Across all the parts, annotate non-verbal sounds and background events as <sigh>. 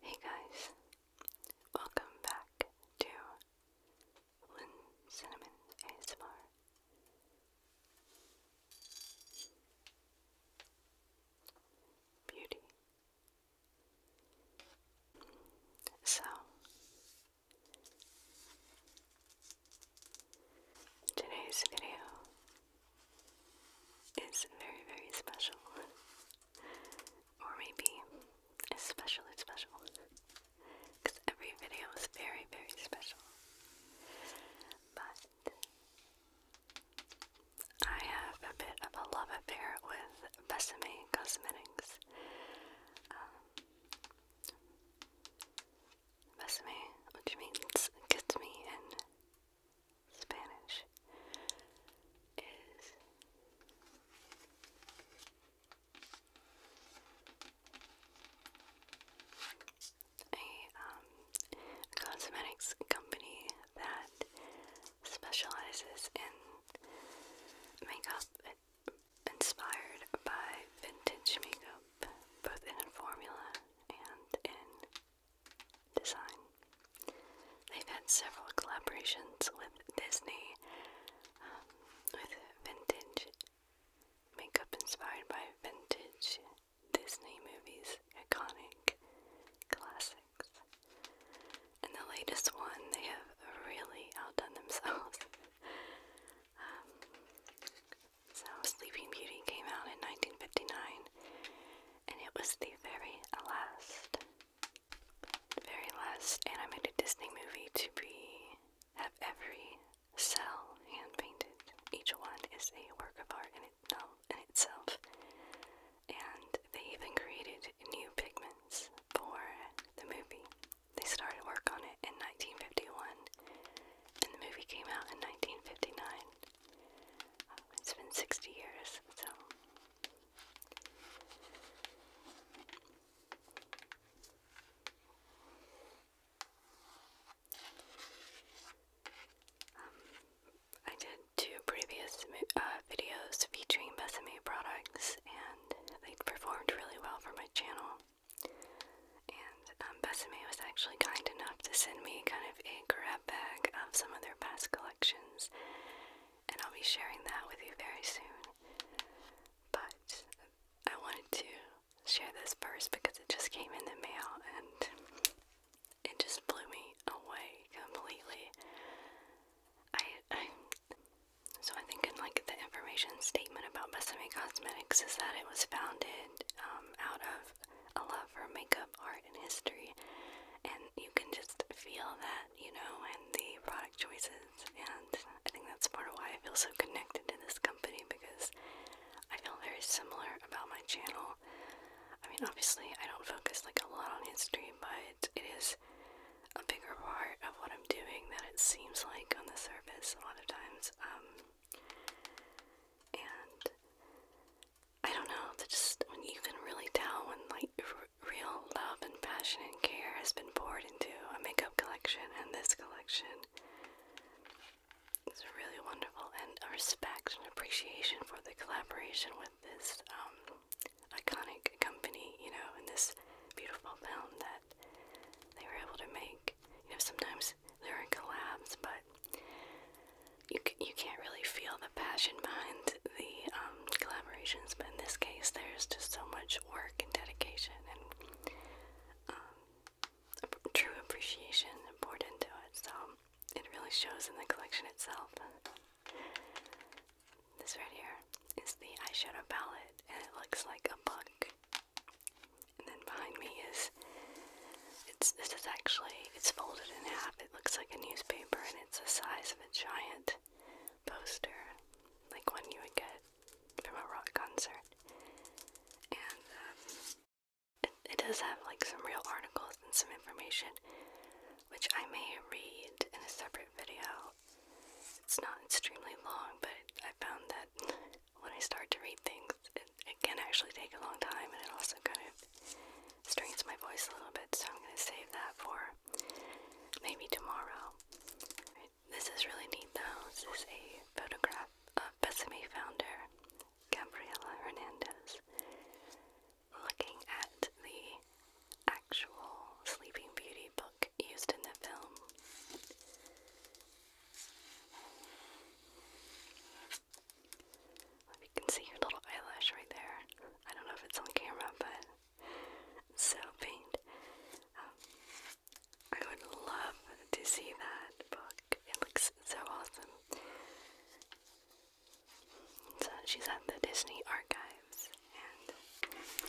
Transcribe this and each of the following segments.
Hey guys, welcome back to Lynn Cinnamon ASMR. Beauty. So, today's video is very, very special. <laughs> or maybe especially special, because every video is very, very special. But I have a bit of a love affair with Besame Cosmetics. Um, which means kiss me in Spanish is um, a, cosmetics company that specializes in makeup inspired by vintage makeup, both in formula and in design. They've had several collaborations with Disney, um, with vintage makeup inspired by vintage Disney movies, iconic classics. And the latest one, they have really outdone themselves. <laughs> Um, so, Sleeping Beauty came out in 1959, and it was the very last the very last animated Disney movie to be have every cell hand painted. Each one is a work of art in, it, no, in itself. And they even created new pigments for the movie. They started work on it in 1951, and the movie came out in 1959. Uh, it's been 60 years, so um, I did two previous uh, videos featuring Besame products, and they performed really well for my channel. And um, Besame was actually kind enough to send me kind of a grab bag of some of their past collections, and I'll be sharing that with you very soon. But I wanted to share this first because it just came in the mail and it just blew me away completely. I, so I think in like the information statement about Besame Cosmetics is that it was founded um, out of a love for makeup art and history, and you can just feel that, you know, and the product choices. And I think that's part of why I feel so connected to this company because I feel very similar about my channel. I mean, obviously, I don't focus like a lot on history, but it is a bigger part of what I'm doing than it seems like on the surface a lot of times. Um, and I don't know, that just when you can really tell when like real love and passion and care has been poured into a makeup collection and this collection. is really wonderful and a respect and appreciation for the collaboration with this um, iconic company, you know, and this beautiful film that they were able to make. You know, sometimes there are collabs, but you you can't really feel the passion behind the um, collaborations, but in this case, there's just so much work and dedication and um, true appreciation poured into it. So it really shows in the collection itself. This right here is the eyeshadow palette, and it looks like a book. And then behind me is it's this is actually it's folded in half it looks like a newspaper and it's the size of a giant poster, like one you would get from a rock concert. And um, it, does have like some real articles and some information, which I may read in a separate video. It's not extremely long, but I found that when I start to read things, it, it can actually take a long time and it also kind of strains my voice a little bit, so I'm going to save that for maybe tomorrow. This is really neat though. This is a photograph of Besame founder Gabriela Hernandez looking at the actual Sleeping Beauty book used in the film. You can see your little eyelash right there. I don't know if it's on camera, but so faint. Um, I would love to see that book. It looks so awesome. So she's at the Disney Archives, and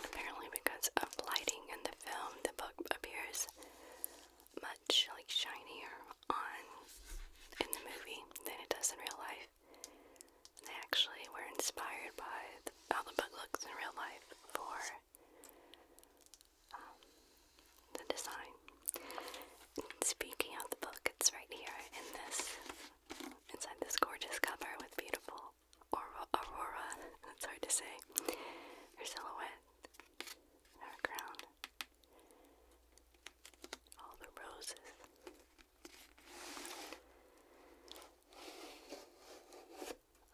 apparently, because of lighting in the film, the book appears much like shinier on in the movie than it does in real life. And they actually were inspired by the, how the book looks in real life for um, the design. speaking of the book, it's right here in this, inside this gorgeous cover with beautiful Aurora, Aurora that's hard to say, her silhouette, her crown, all the roses.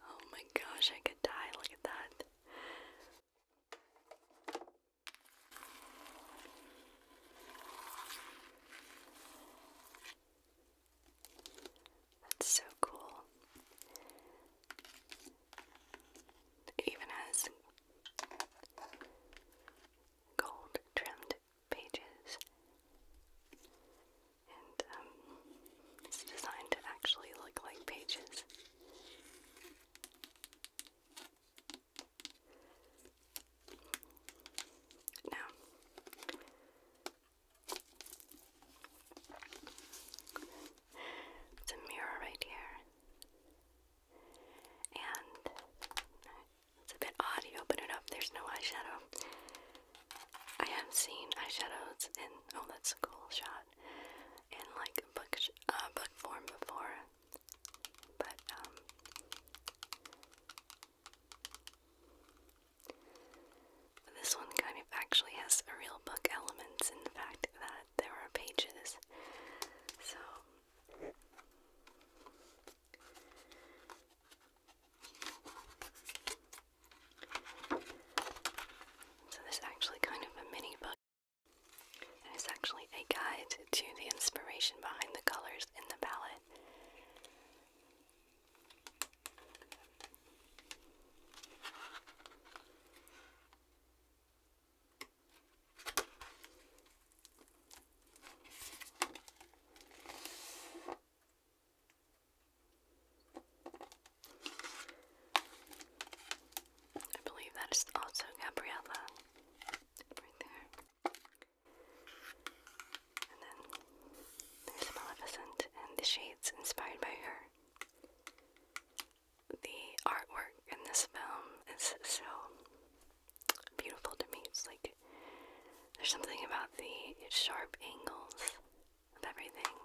Oh my gosh, I could die. Look at that. That's so cool. even has gold trimmed pages. And um, it's designed to actually look like pages. Now, it's a mirror right here, and it's a bit odd. You open it up, there's no eyeshadow. I have seen eyeshadows in oh, that's a cool shot in like book uh, book form before, but um, This one kind of actually has a real book elements in the fact that there are pages. So so this is actually kind of a mini book. it's actually a guide to the inspiration behind the colors in the palette. I believe that is also Gabriella right there. And then there's Maleficent and the shades inspired by her. The artwork in this film is so beautiful to me. It's like there's something about the sharp angles of everything.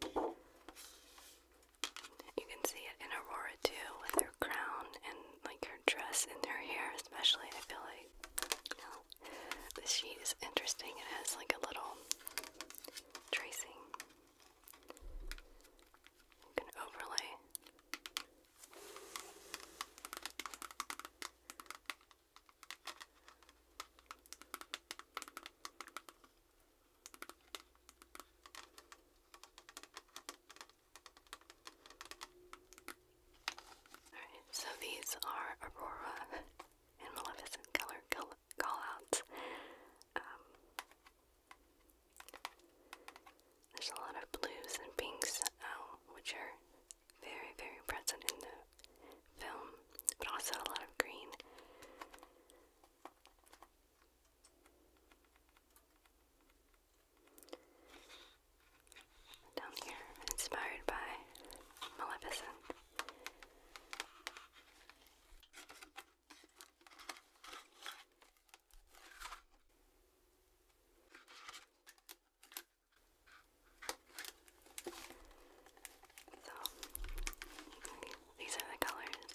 You can see it in Aurora too, with her crown and like her dress and her hair, especially. I feel like you sheet is interesting. It has like a little tracing so these are Aurora and Maleficent color callouts. Um, there's a lot of blues and pinks, um, which are very, very present in the film, but also a lot of green. Down here, inspired by Maleficent. So these are the colors.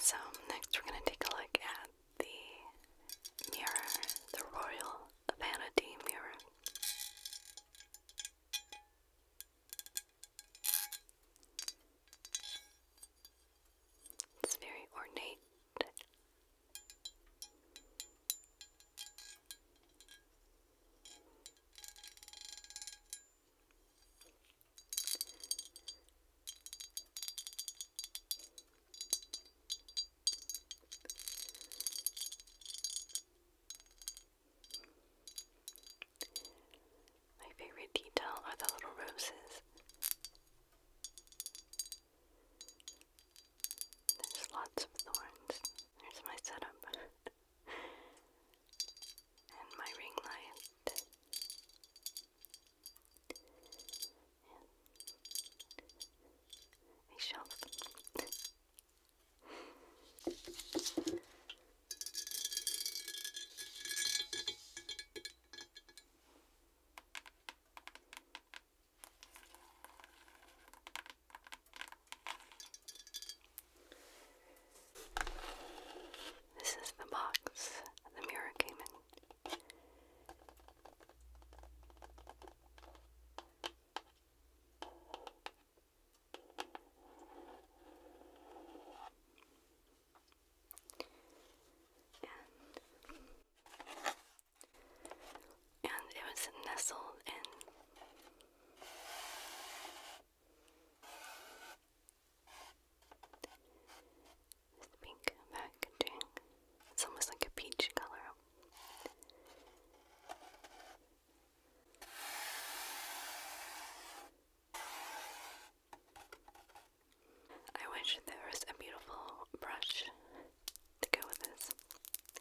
So, next we're going to take a look at the mirror, the Royal Vanity Mirror. It's very ornate my favorite detail are the little roses. There's lots of thorns. There's my setup. <laughs> and my ring light. A shelf. This is the box the mirror came in and it was nestled in this pink packaging. It's almost like a peach color. I wish there was a beautiful brush to go with this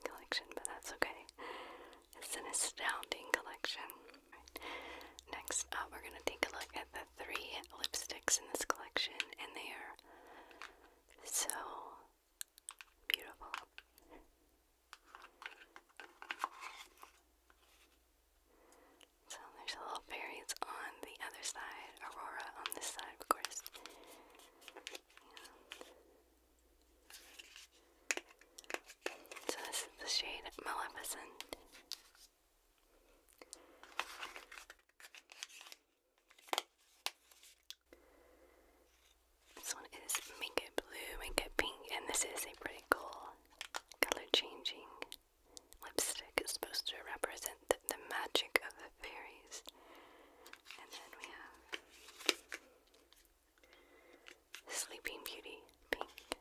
collection, but that's okay. It's an astounding collection. Next up, we're going to take a look at the three lipsticks in this collection, and they are so beautiful. So there's a little fairies on the other side, Aurora on this side, of course so this is the shade Maleficent. This one is Minka Blue, Minka Pink, and this is a pretty cool color changing lipstick. It's supposed to represent the, magic of the fairies. And then we have Sleeping Beauty Pink.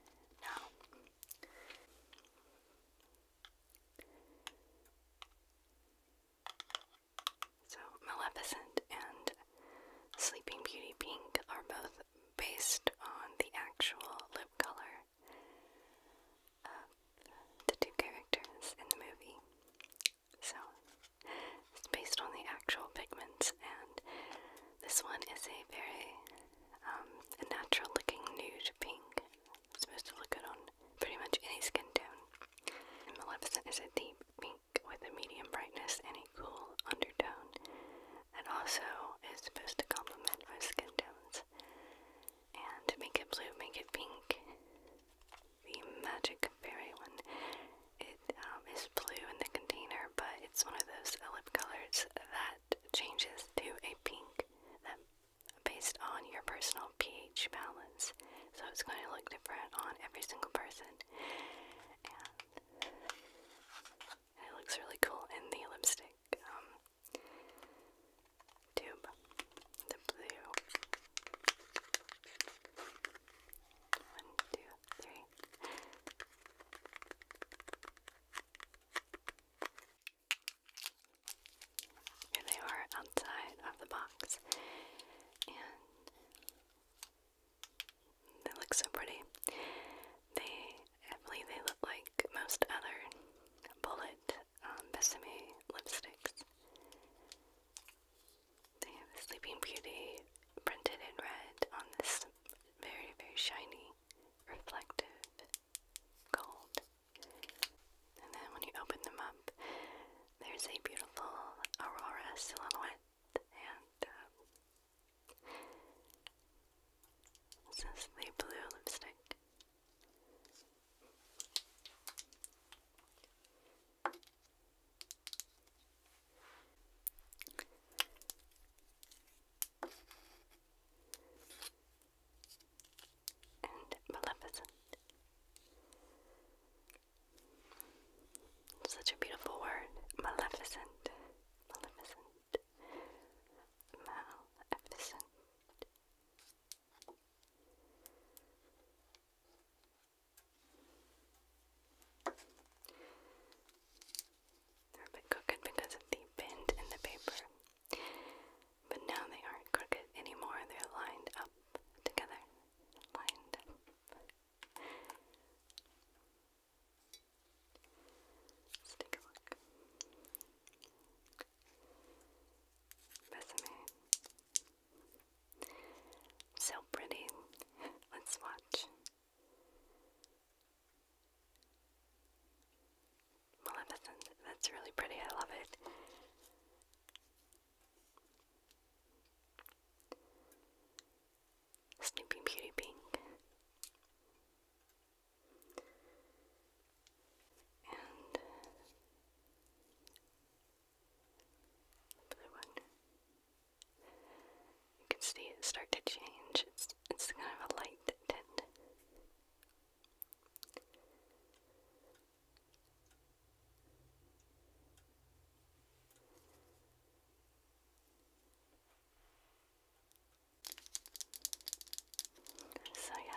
so Maleficent and Sleeping Beauty Pink are both based on the actual lip color of the two characters in the movie. So it's based on the actual pigments, and this one is a very um, natural looking nude pink. It's supposed to look good on pretty much any skin tone. And Maleficent is a deep pink with a medium brightness and a cool undertone. and also is supposed to complement most skin tones and make it blue, make it pink. The magic berry one. Um, is blue in the container, but it's one of those lip colors that changes to a pink based on your personal pH balance. So it's going to look different on every single person. And it looks really cool in the lipstick. Um, tube, the blue. One, two, three. Here they are outside of the box, and they look so pretty. They, I believe, they look like most other bullet um, lipsticks. They Sleeping Beauty printed in red on this very, very shiny, reflective gold. And then when you open them up, there's a beautiful Aurora silhouette. And um, this is blue lipstick. Maleficent. Such a beautiful word, Maleficent, Maleficent, Maleficent. They're a bit crooked because of the bend in the paper. But now they aren't crooked anymore, they're lined up together. Lined Let's take a look. Besame so pretty. Let's watch. Maleficent. That's really pretty. I love it. Snoopy Beauty Pink. Another one. You can see it start to change. It's it's kind of a light tint. So yeah,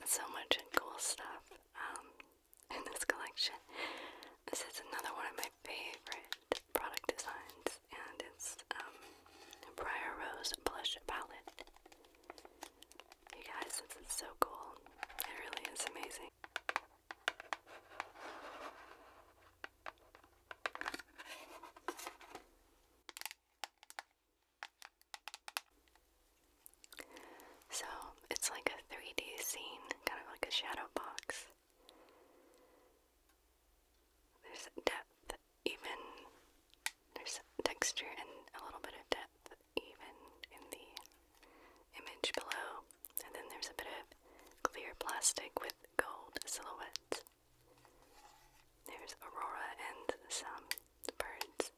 there's so much cool stuff um, in this collection. This is another one of my favorite product designs, and it's um, Briar Rose Blush Palette. You guys, this is so cool. It really is amazing. So, it's like a 3D scene, kind of like a shadow box. There's depth, even. There's texture and a little bit of depth, even in the image below. And then there's a bit of clear plastic with gold silhouettes. There's Aurora and some birds,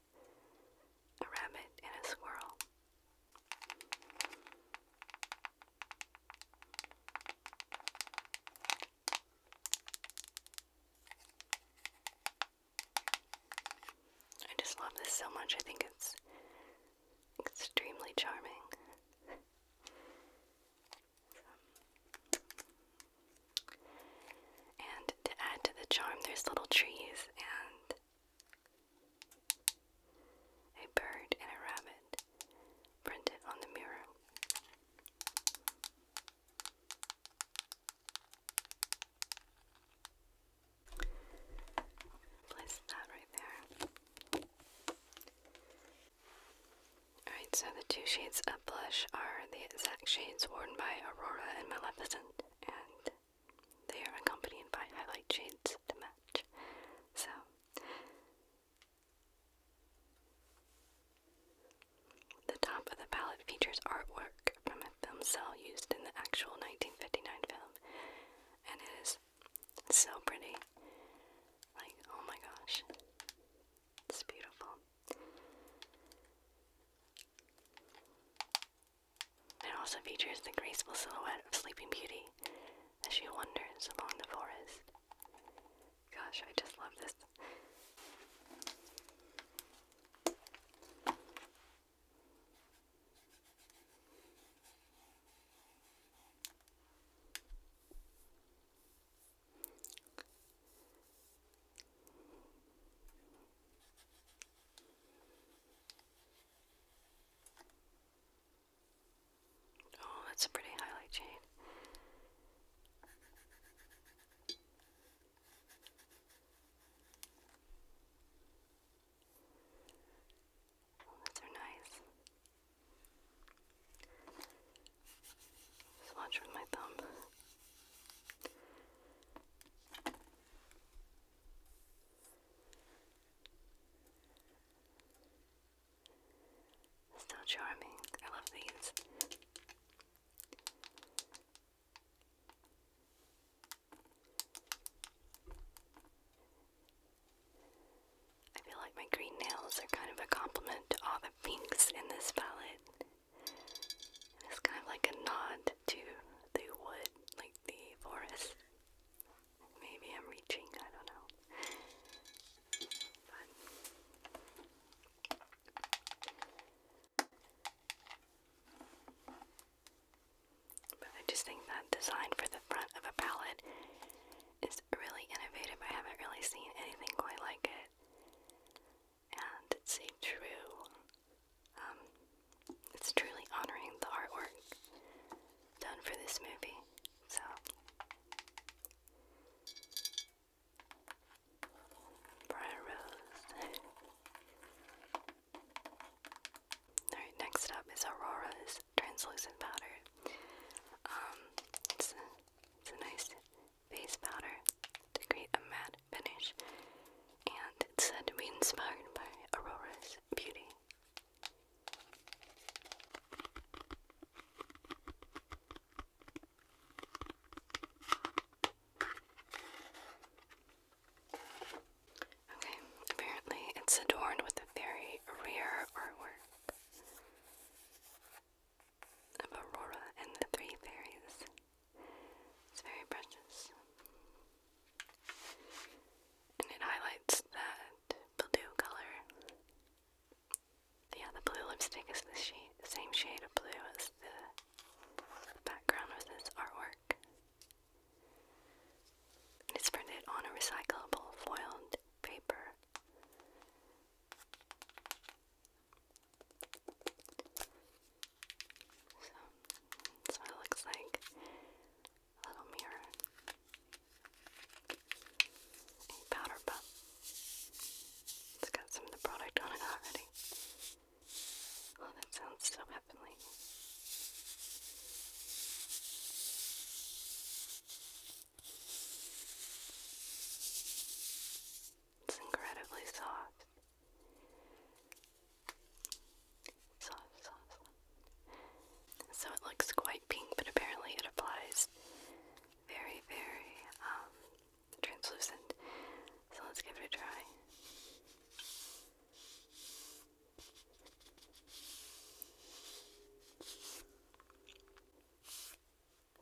a rabbit and a squirrel. I just love this so much. I think it's extremely charming. and to add to the charm, there's little trees and a bird and a rabbit printed on the mirror. Place that right there. Alright, so the two shades of blush are the exact shades worn by Aurora and Maleficent, and they are accompanied by highlight shades to match. So the top of the palette features artwork from a film cell used in the actual 1959 film, and it is so pretty. Like, oh my gosh, it's beautiful. It also features the graceful silhouette of Sleeping Beauty, as she wanders along the forest. Gosh, I just love this. Oh, that's a pretty highlight chain. Oh, those are nice. Just with my thumb. So charming. I love these. I feel like my green nails are kind of a compliment to all the pinks in this palette. it's kind of like a nod to the wood, like the forest. Maybe I'm reaching, I don't know. But I just think that design for the front of a palette is really innovative. I haven't really seen anything quite like it. And it's a true, um, it's truly honoring the artwork done for this movie. So Briar Rose. <laughs> Alright, next up is Aurora's translucent powder. Um, it's it's a nice face powder to create a matte finish, and it's said to be inspired by Aurora's beauty Okay, apparently it's adorned with a very rare artwork of Aurora and the three fairies. It's very precious and it highlights that blue color. Yeah, the blue lipstick is the, same shade of blue as the background of this artwork. It's printed on a recyclable foiled paper. So that's what it looks like little mirror, a powder puff. It's got some of the product on it already. Oh, that sounds so heavenly. It's incredibly soft. So it looks quite pink, but apparently it applies very, very um, translucent. So let's give it a try.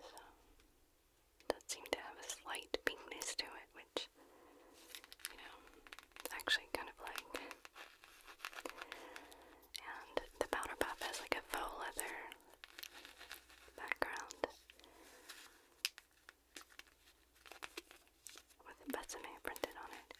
So, it seem to have a slight pinkness to it, which, you know, actually kind of like and the powder puff has like a faux leather background with a printed on it.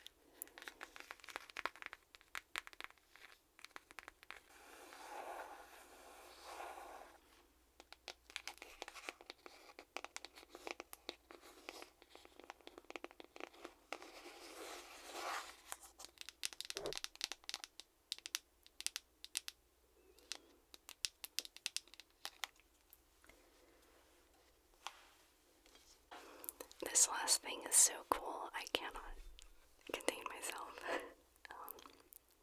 This last thing is so cool, I cannot contain myself. <laughs> Um,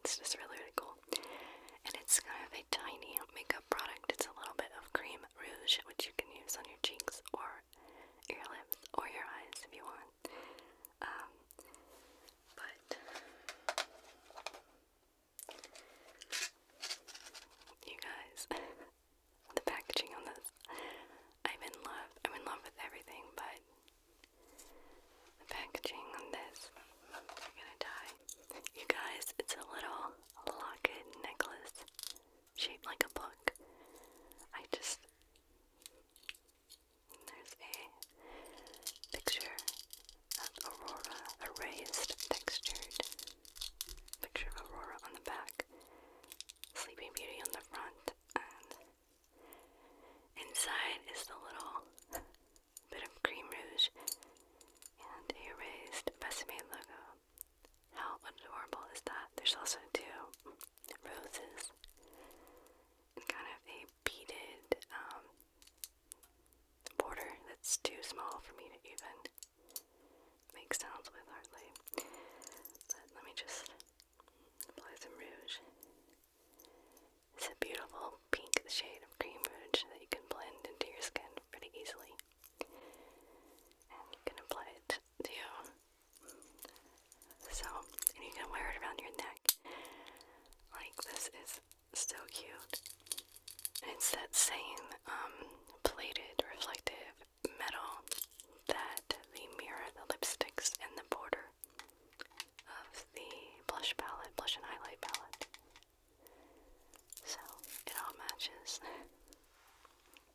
it's just really, really cool. And it's kind of a tiny makeup product. It's a little bit of cream rouge, which you can use on your cheeks or your lips or your eyes if you want. Um, but you guys, <laughs> the packaging on this, I'm in love. I'm in love with everything, but the packaging on this, I'm gonna die. You guys, it's a little locket necklace shaped like a book. I just. There's a picture of Aurora, a textured picture of Aurora on the back, Sleeping Beauty on the front, and inside is the little bit of cream rouge and a raised Besame logo. How adorable is that? There's also two roses and kind of a beaded um, border that's too small for me to even make sounds with hardly. But let me just apply some rouge. It's a beautiful pink shade of cream rouge that you can blend into your skin pretty easily. And you can apply it to so, you can wear it around your neck. Like, this is so cute. it's that same um, plated reflective metal that the mirror, the lipsticks, and the border of the blush palette, blush and highlight palette. So, it all matches. <laughs>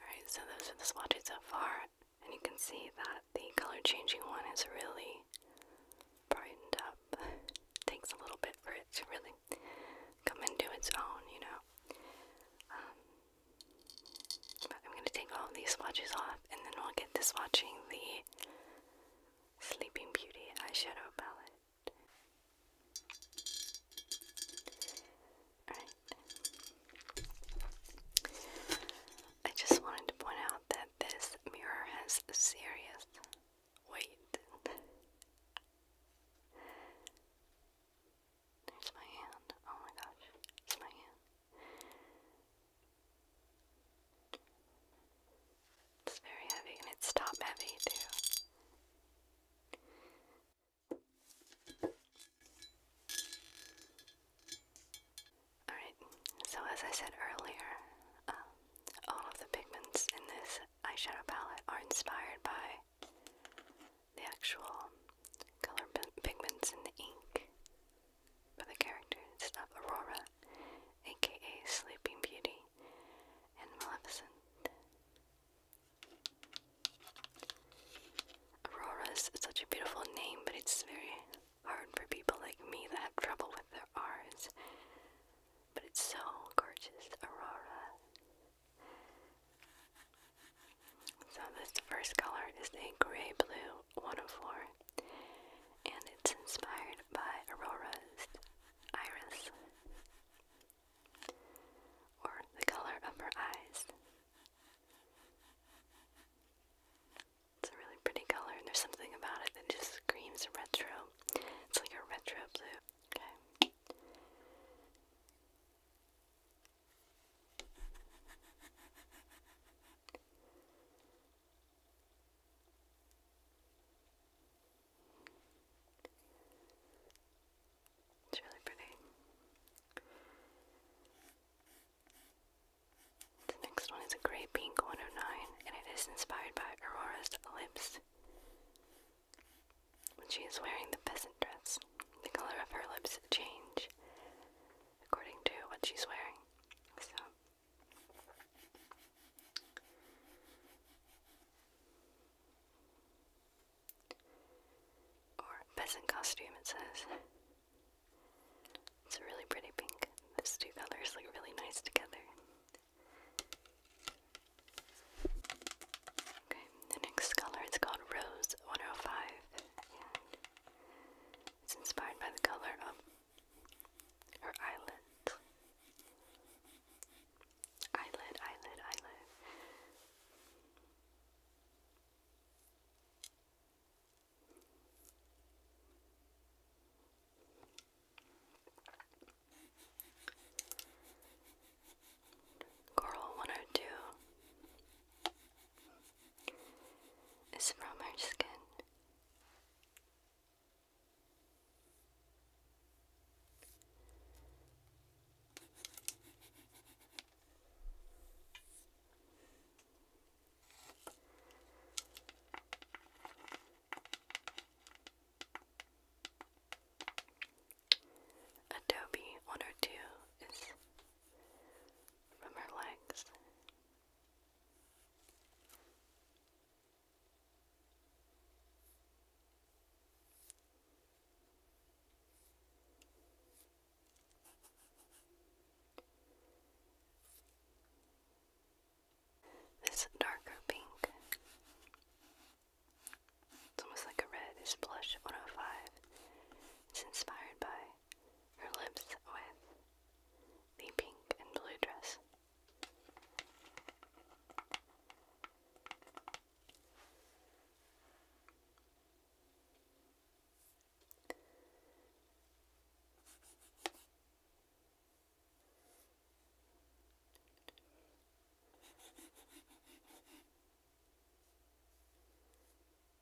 Alright, so those are the swatches so far, and you can see that the color changing one is really brightened up. Takes a little bit for it to really come into its own, you know. Um, I'm going to take all these swatches off, and then we'll get to swatching the Sleeping Beauty eyeshadow palette. Alright. I just wanted to point out that this mirror has serious weight. There's my hand. Oh my gosh. It's my hand. It's very heavy and it's top heavy too. Alright, so as I said earlier, um, all of the pigments in this eyeshadow palette are inspired by the actual color pigments in the ink for the characters of Aurora, aka Sleeping Beauty, and Maleficent. Aurora is such a beautiful name, but it's very hard for people like me that have trouble with their R's. But it's so gorgeous, Aurora. So, this first color is a gray blue 104 and it's inspired by Aurora's iris or the color of her eyes. It's a really pretty color, and there's something about it that just screams retro. It's like a retro blue. Okay. It's really pretty. The next one is a grey pink 109, and it is inspired by Aurora's lips. When she is wearing the peasant dress, the color of her lips change according to what she's wearing. So or peasant costume it says. It's a really pretty pink. These two colors look really nice together. Okay, the next color it's called Rose 105 it's inspired by the color of her eyelid. Eyelid, eyelid, eyelid. Coral 102 is from her skin Adobe 102 is from her legs. This darker pink. It's almost like a red. It's blush 105. It's inspired by her lips with the pink and blue dress.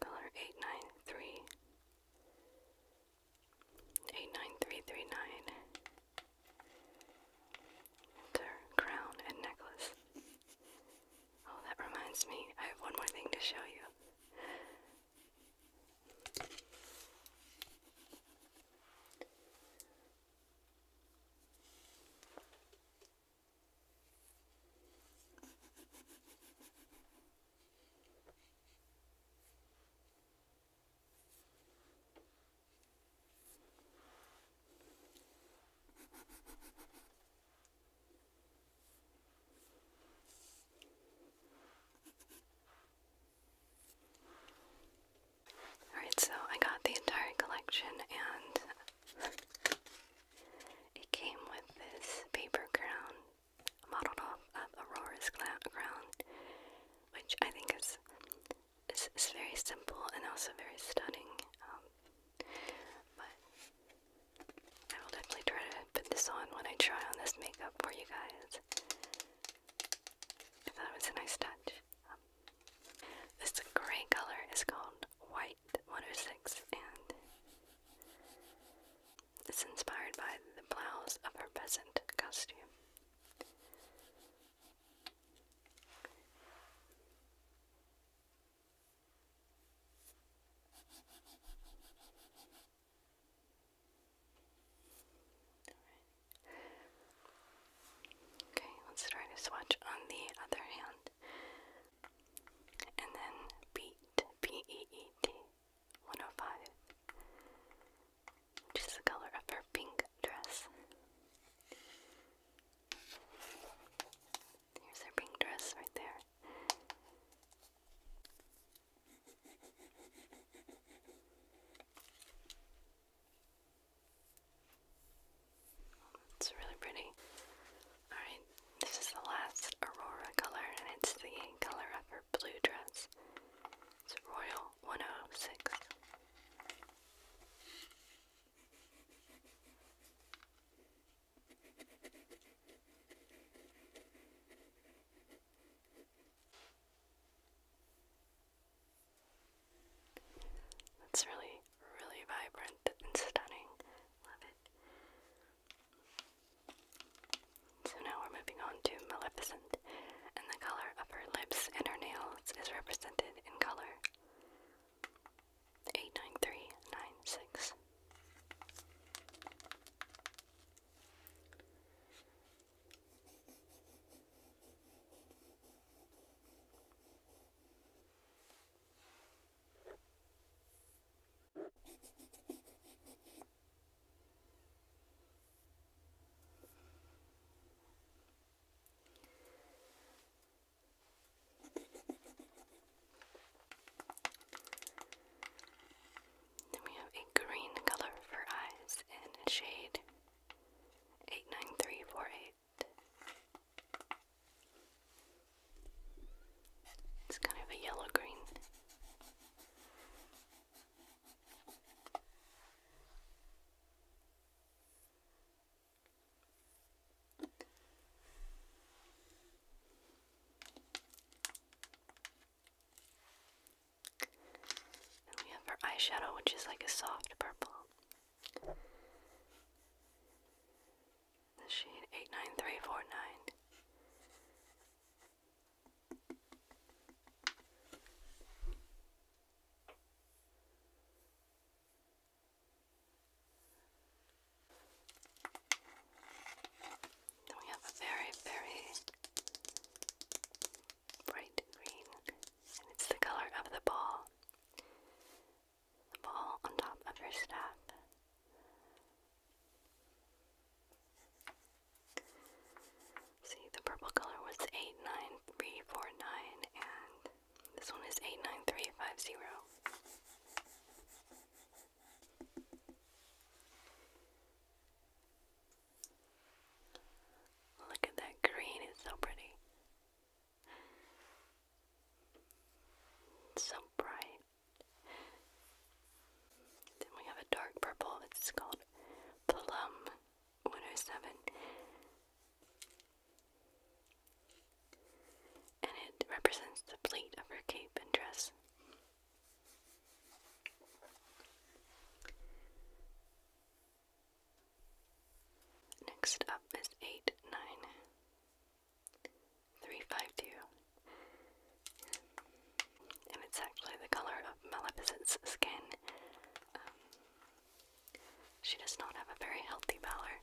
Color eight nine three eight nine three three nine. Enter crown and necklace. Oh, that reminds me, I have one more thing to show you. Alright, so I got the entire collection and it came with this paper crown modeled off of Aurora's crown, which I think is, is, very simple and also very stunning. Um, but I will definitely try to put this on when I try on this makeup for you guys. I thought it was a nice touch. Um, this gray color is called White 106 and it's inspired by the blouse of her peasant costume. Okay, let's try to swatch on the other hand. And then beat, B-E-E-T, 105, which is the color of her pink dress. Here's her pink dress right there. Oh, it's really pretty. Alright, this is the last Aurora color, and it's the color of her blue dress. It's Royal 106. That's really, really vibrant and stunning. Love it. So now we're moving on to Maleficent, and the color of her lips and her nails is represented in color eight nine three nine six. Then we have a green color for eyes in shade 89348. It's kind of a yellow green we have our eyeshadow, which is like a soft purple. The shade 89349. Then we have a very, very bright green, and it's the color of the ball. The ball on top of her staff. See, the purple color was 89349, and this one is 89350. Look at that green, it's so pretty. so bright. Then we have a dark purple, it's called Plum 107 and it represents the pleat of her cape and dress. Next up is 89352, and it's actually the color of Maleficent's skin. Um, she does not have a very healthy pallor,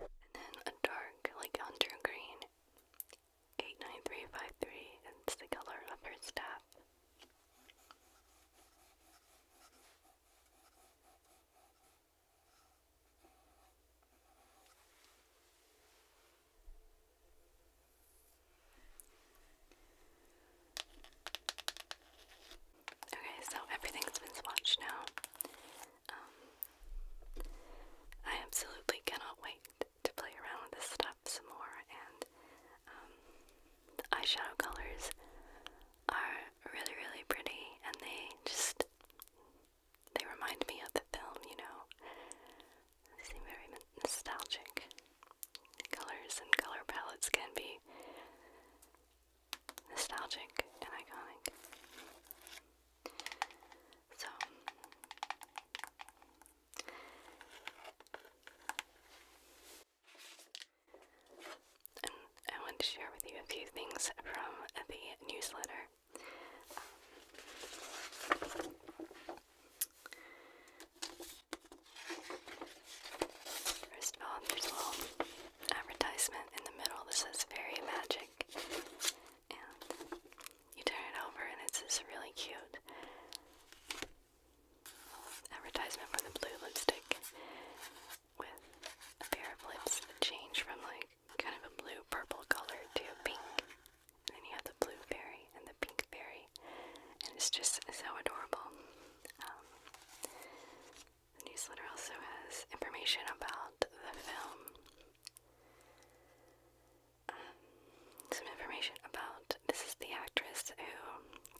And then a dark, like hunter green. 89353 It's the color of her staff. Okay, so everything's been swatched now. Um, I absolutely cannot wait to play around with this stuff some more, and um, eyeshadow colors are really, really pretty, and they just they remind me of the film, you know. They seem very nostalgic. Colors and color palettes can be nostalgic and iconic. So I want to share with you a few things from the newsletter. First of all, there's a little advertisement in the middle that says Fairy Magic. You turn it over and it's this really cute advertisement for the blue lipstick with a pair of lips that change from like kind of a blue purple color to a pink. then you have the blue berry and the pink berry. And it's just so adorable. Um, the newsletter also has information about the film um, some information about this is the actress who,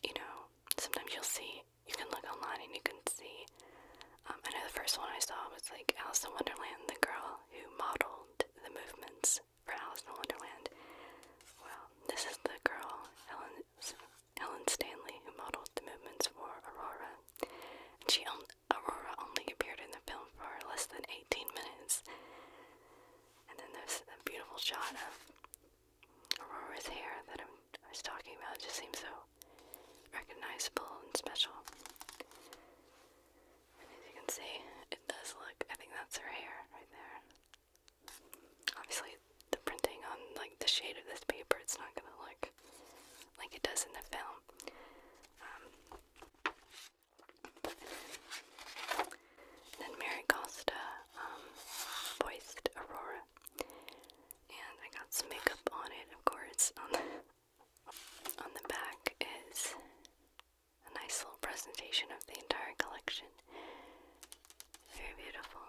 you know, sometimes you'll see, you can look online and you can see. Um, I know the first one I saw was like Alice in Wonderland, the girl who modeled the movements for Alice in Wonderland. Well, this is the girl, Helen, Helen Stanley, who modeled the movements for Aurora. she Aurora only appeared in the film for less than 18 minutes. And then there's a beautiful shot of Aurora's hair that I'm, was talking about. It just seems so recognizable and special. And as you can see, it does look, I think that's her hair right there. Obviously, the printing on like the shade of this paper, it's not gonna look like it does in the film. Um, then Mary Costa um, voiced Aurora, and I got some makeup on it, of course. On the, back is a nice little presentation of the entire collection. Very beautiful.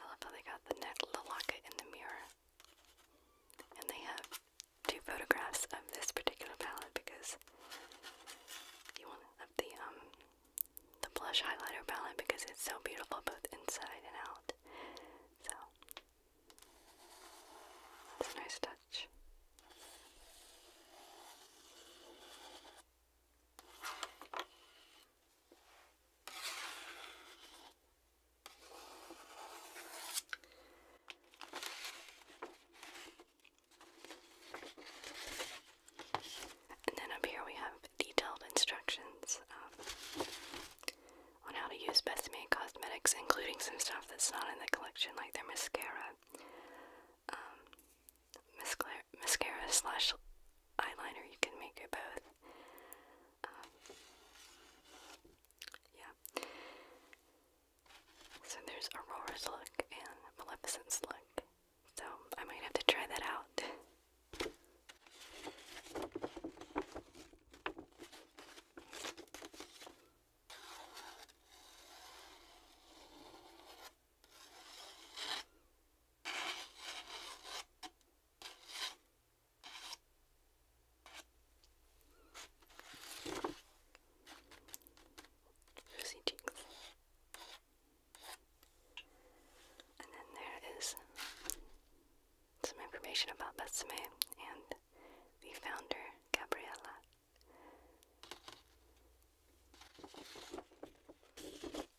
I love how they got the locket, and the mirror. And they have two photographs of this particular palette because of the um the blush highlighter palette because it's so beautiful both inside and out. So that's a nice touch. And then up here we have detailed instructions um, on how to use Best Made Cosmetics, including some stuff that's not in the collection, like their mascara, um, mascara slash eyeliner. You can make it both. Um, yeah. So there's Aurora's look and Maleficent's look. So I might have to try that out. Rosy And then there is some information about Besame and the founder, Gabriela.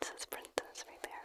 This is Princess right there.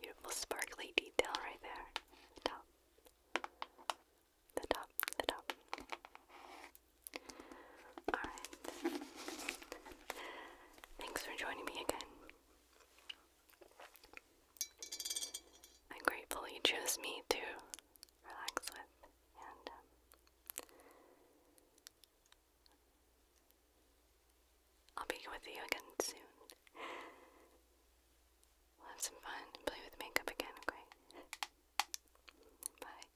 Beautiful sparkly detail right there. The top. The top. The top. Alright. Thanks for joining me again. I'm grateful you chose me to relax with, and um, I'll be with you again soon. We'll have some fun play with makeup again, okay? Bye.